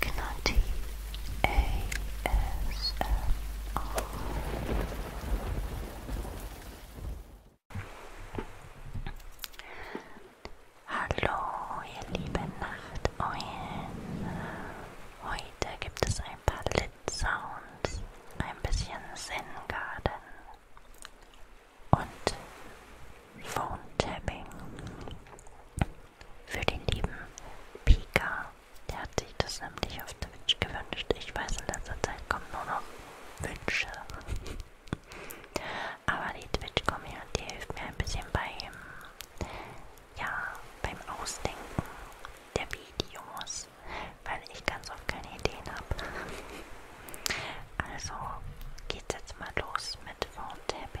Gnati ASMR. Hallo, ihr lieben Nachteulen. Heute gibt es ein paar Lit Sounds, ein bisschen Zen Garden und Phone Tapping für den lieben Pika. Der hat sich das nämlich auf Twitch gewünscht. Ich weiß, in letzter Zeit kommen nur noch Wünsche. Aber die Twitch-Community hilft mir ein bisschen beim, ja, beim Ausdenken der Videos, weil ich ganz oft keine Ideen habe. Also geht's jetzt mal los mit Phone-Tapping.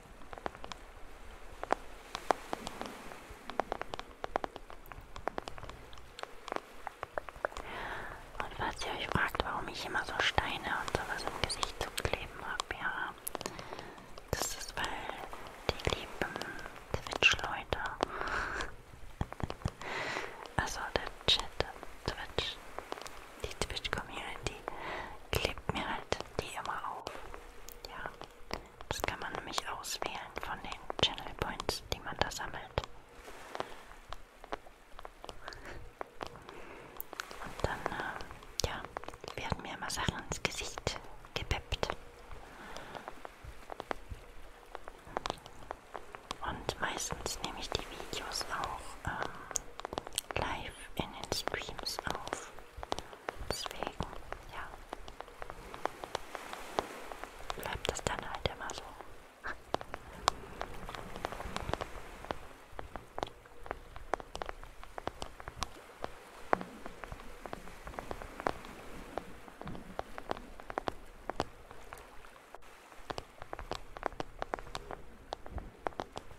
Und falls ihr euch fragt, warum ich immer so Steine und sowas im Gesicht zu kleben habe, ja, das ist, weil die lieben Twitch-Leute. Also der Chat, Twitch, die Twitch-Community klebt mir halt die immer auf. Ja, das kann man nämlich auswählen von den Channel Points, die man da sammelt. Und dann, äh, ja, werden mir immer Sachen ins Gesicht gepeppt. Und meistens nehme ich die Videos auch ähm, live in den Streams auf. Deswegen, ja. Bleibt das dann halt immer so.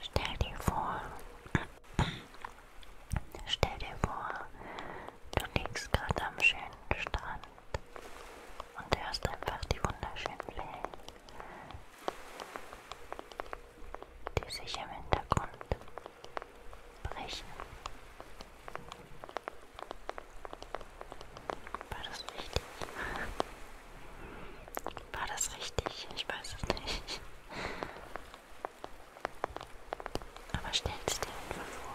Stell dir vor, stell dir vor, du liegst gerade am schönen Strand und hörst einfach die wunderschönen Wellen, die sich im Hintergrund brechen. War das richtig? War das richtig? Ich weiß es nicht. Aber stell es dir einfach vor.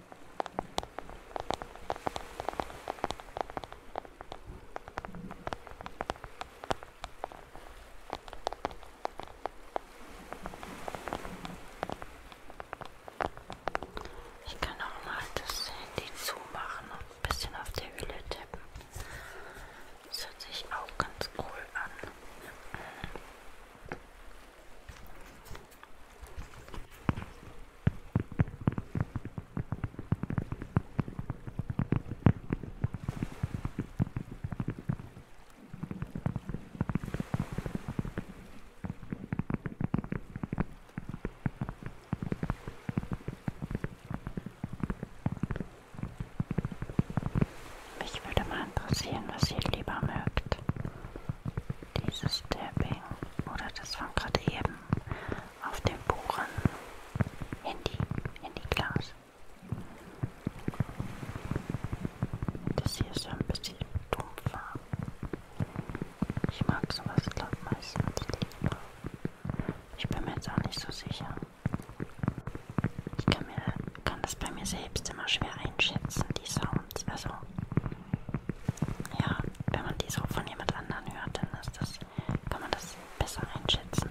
Ich kann auch mal das Handy zumachen und ein bisschen auf der Hülle tippen. Das hört sich auch ganz cool an. Mich würde mal interessieren, was ihr lieber mögt. Dieses Tapping oder das von gerade eben auf dem Buchen Handy, Handyglas. Das hier ist ja ein bisschen dumpfer. Ich mag sowas, glaube ich, meistens lieber. Ich bin mir jetzt auch nicht so sicher. Ich kann, mir, kann das bei mir selbst immer schwer einschätzen, die Sounds. Also, ja, wenn man die so von jemand anderen hört, dann ist das, kann man das besser einschätzen.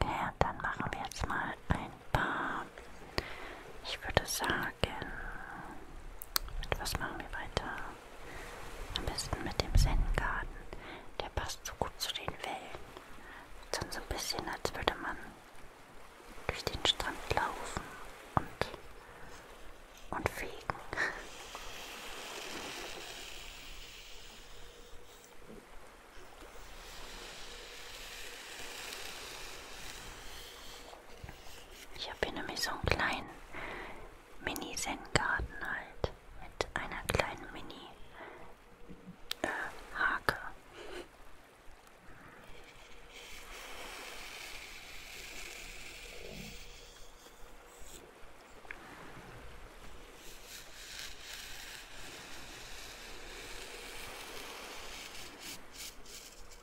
Okay, und dann machen wir jetzt mal ein paar, ich würde sagen, mit was machen wir weiter? Am besten mit dem Zen-Garten. Der passt so gut zu den Wellen. Dann so ein bisschen, als würde man durch den Strand laufen und, und fegen. Ich habe hier nämlich so einen kleinen Mini-Zen-Garten halt. Mit einer kleinen Mini-Hake.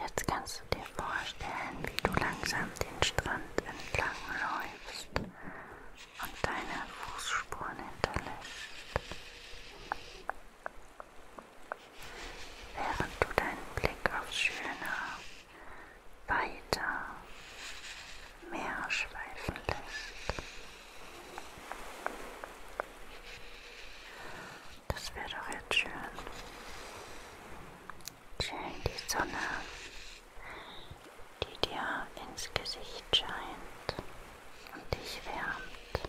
Jetzt kannst du dir vorstellen, wie du langsam den Strand entlang läufst und deine Fußspuren hinterlässt. Während du deinen Blick aufs schöne, weite Meer schweifen lässt. Das wäre doch jetzt schön. Schön die Sonne, die dir ins Gesicht scheint und dich wärmt.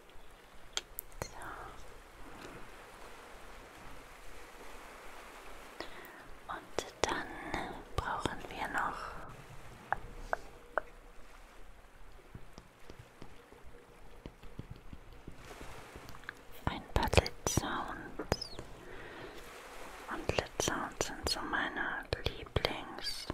So. Genau. Und dann brauchen wir noch ein paar Lit-Sounds. Und Lit-Sounds sind so meine Lieblings-Sounds.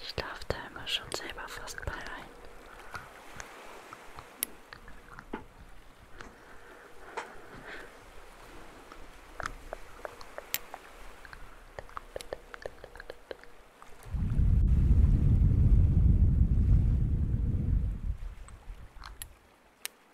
Ich darf da immer schon selber fast bei ein.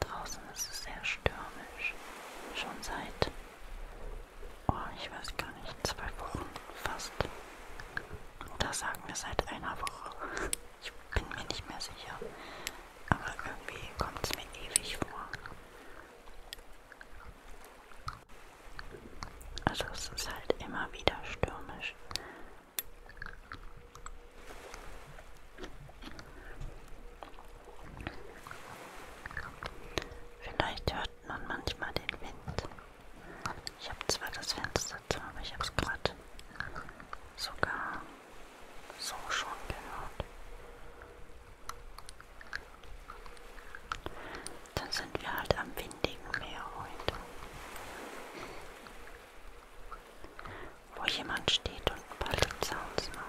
Draußen ist es sehr stürmisch. Schon seit, oh, ich weiß gar nicht, zwei Wochen fast. Oder sagen wir seit einer Woche. Ich bin mir nicht mehr sicher. Aber irgendwie kommt es mir ewig vor. Also es ist halt immer wieder stürmisch. Vielleicht hört man manchmal den Wind. Ich habe zwar das Fenster Sätze, aber ich habe es gerade sogar so schon gehört. Dann sind wir halt am windigen Meer heute. Wo jemand steht und ein paar Lip Sounds macht.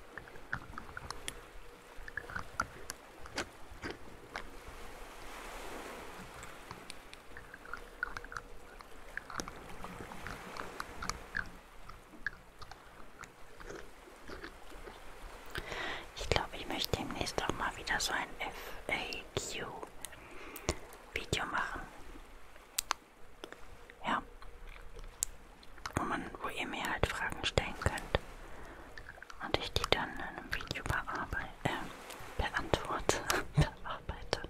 Ich glaube, ich möchte demnächst auch mal wieder so ein FAQ-Video machen. Ja. Wo, man, wo ihr mir halt Fragen stellen könnt. Und ich die dann in einem Video bearbeite, äh, beantworte. bearbeite.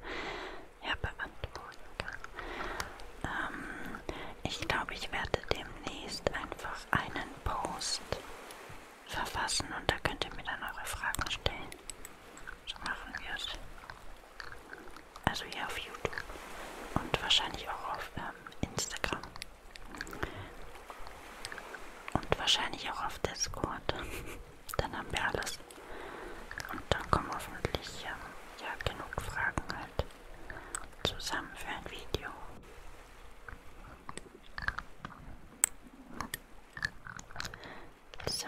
Ja, beantworten kann. Ähm, ich glaube, ich werde demnächst einfach einen Post verfassen und da könnt ihr mir dann eure Fragen stellen. So machen wir es also hier auf YouTube und wahrscheinlich auch auf ähm, Instagram und wahrscheinlich auch auf Discord. Dann haben wir alles und dann kommen hoffentlich ähm, ja genug Fragen halt zusammen für ein Video. So,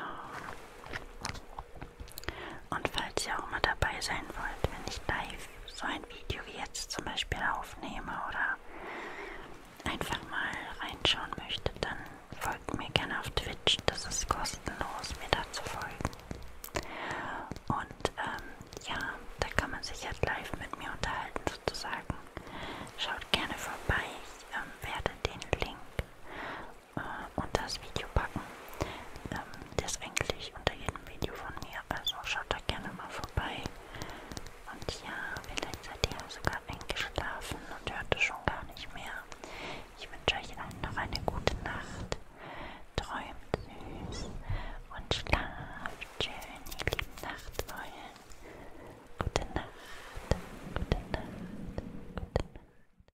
und falls ihr auch mal dabei sein wollt, wenn ich live so ein Video wie jetzt zum Beispiel aufnehme oder einfach mal reinschauen möchtet, dann folgt mir gerne auf Twitch. Das ist kostenlos, mir da zu folgen. Und ähm, ja, da kann man sich jetzt live mit mir unterhalten sozusagen. Schaut gerne vorbei. Ich ähm, werde den Link äh, unter das Video packen. Ähm, der ist eigentlich unter jedem Video von mir, also schaut da gerne mal vorbei. Und ja, vielleicht seid ihr sogar eingeschlafen und hört es schon gar nicht mehr. Ich wünsche euch allen noch eine gute Nacht. Träumt süß und schlaft schön, ihr lieben Nachtwollen. Gute Nacht, gute Nacht, gute Nacht.